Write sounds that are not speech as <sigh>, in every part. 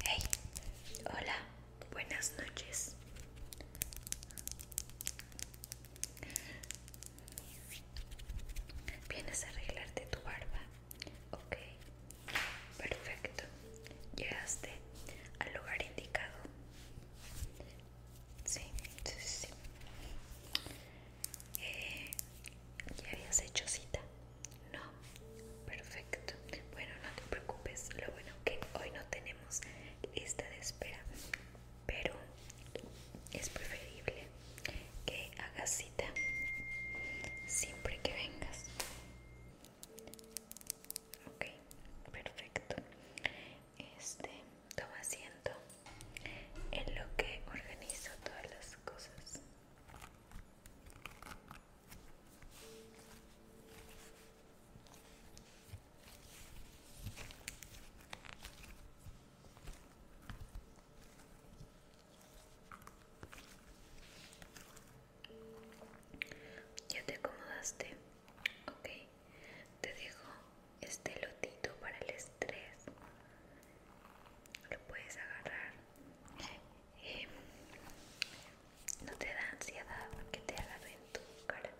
Hey, hola, buenas noches. ¿Vienes a arreglarte tu barba? Ok, perfecto. Llegaste al lugar indicado. Sí, sí, sí. Eh, ¿Ya habías hecho cita? No, perfecto. Bueno, no te preocupes. Lo bueno que hoy no tenemos esta de espera, pero es preferible que hagas cita siempre que vengas. Ok, perfecto. Este, toma asiento en lo que organizo todas las cosas. Ya te acomodaste, okay, Te dejo este lotito para el estrés. Lo puedes agarrar eh, no te da ansiedad porque te agarre en tu cara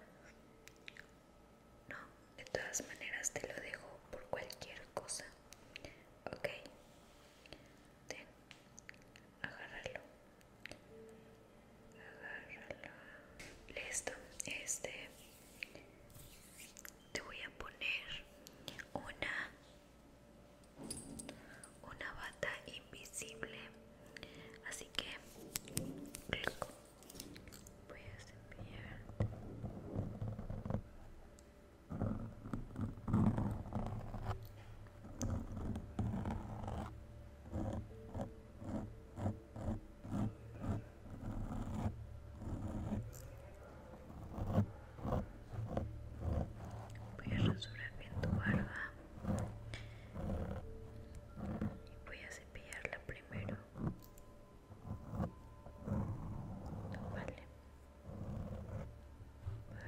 no de todas maneras te lo dejo por cualquier cosa ok ten agárralo agárralo listo este te voy a poner una una bata invisible así que voy a ser. Voy a rasurar bien tu barba y voy a cepillarla primero. Vale,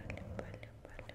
vale, vale, vale.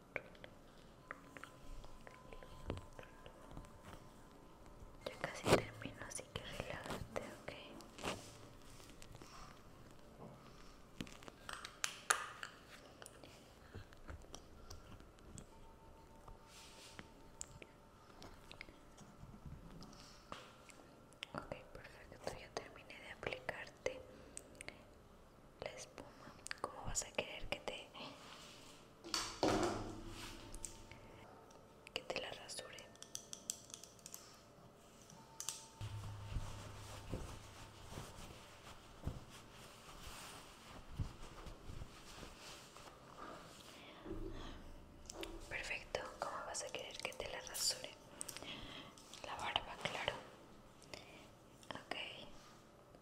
Ya casi termino, así que relájate, okay Ok, perfecto, ya terminé de aplicarte la espuma. ¿Cómo vas a querer que te que te la rasure? Perfecto, ¿cómo vas a querer que te la rasure? La barba, claro. Ok,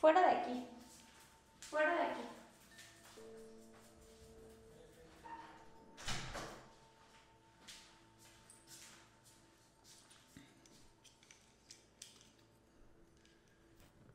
Fuera de aquí. Fuera de aquí.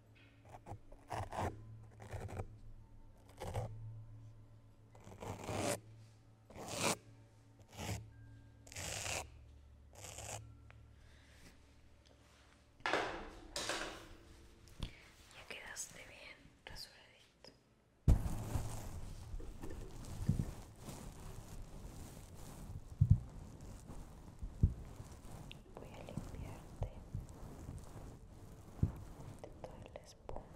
Ya quedaste bien rasuradito voy a limpiarte de toda la espuma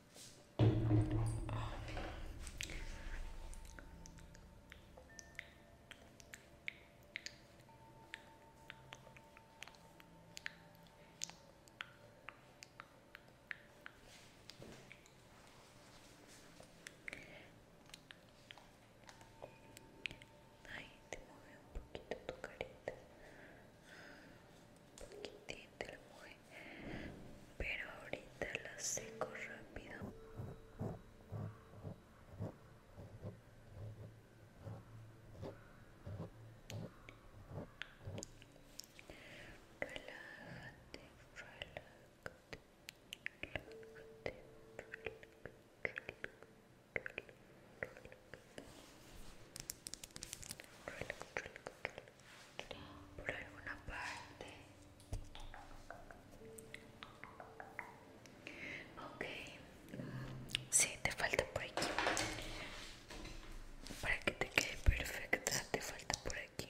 Ai, demorou um pouquinho do careta. un poquitín pero ahorita la seco rápido por alguna parte okay si sí, te falta por aquí para que te quede perfecta te falta por aquí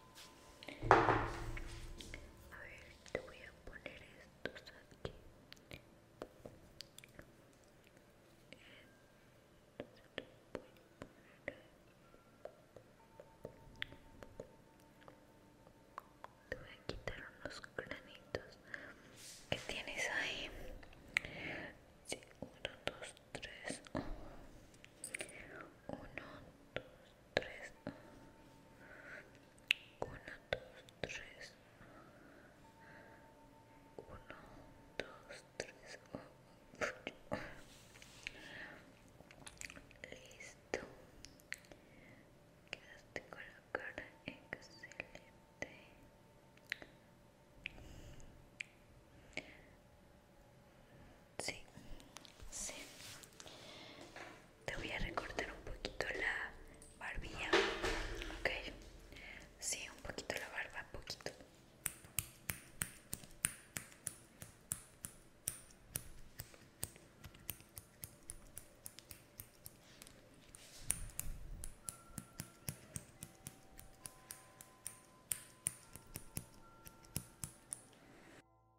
A ver, te voy a poner estos aquí. Te voy a quitar unos granitos que tienes ahí. Sí, uno, dos, tres. Uno, dos, tres, uno, dos, tres, uno, dos, tres, listo, quedaste la cara excelente sí, sí. Te voy a recortar un poquito la barbilla, ok. Sí, un poquito la barba, poquito.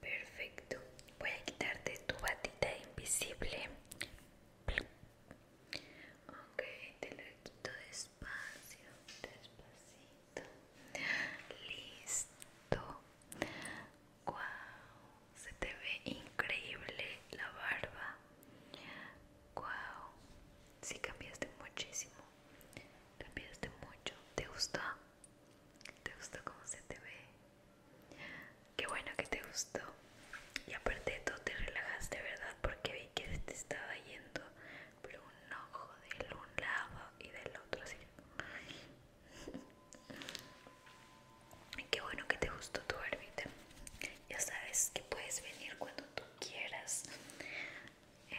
Perfecto. Voy a quitarte tu batita invisible. Ok, te lo quito despacio, despacito. Listo. Wow, se te ve increíble la barba. Wow, Si cambiaste muchísimo. Cambiaste mucho. ¿Te gustó? ¿Te gustó cómo se te ve? Qué bueno que te gustó. Y aparte de todo te relajaste, ¿verdad? Porque vi que te estaba yendo por un ojo De un lado y del otro así. <laughs> Qué bueno que te gustó tu barbita. Ya sabes que puedes venir cuando tú quieras. Eh,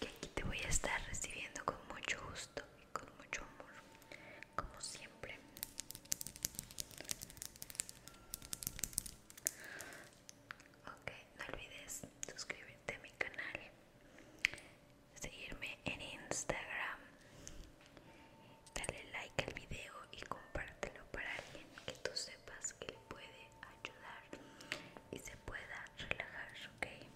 que aquí te voy a estar recibiendo con mucho gusto y con mucho amor, como siempre. Ok, no olvides suscribirte a mi canal, seguirme en Instagram, darle like al video y compártelo para alguien que tú sepas que le puede ayudar y se pueda relajar, okay?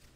Bye.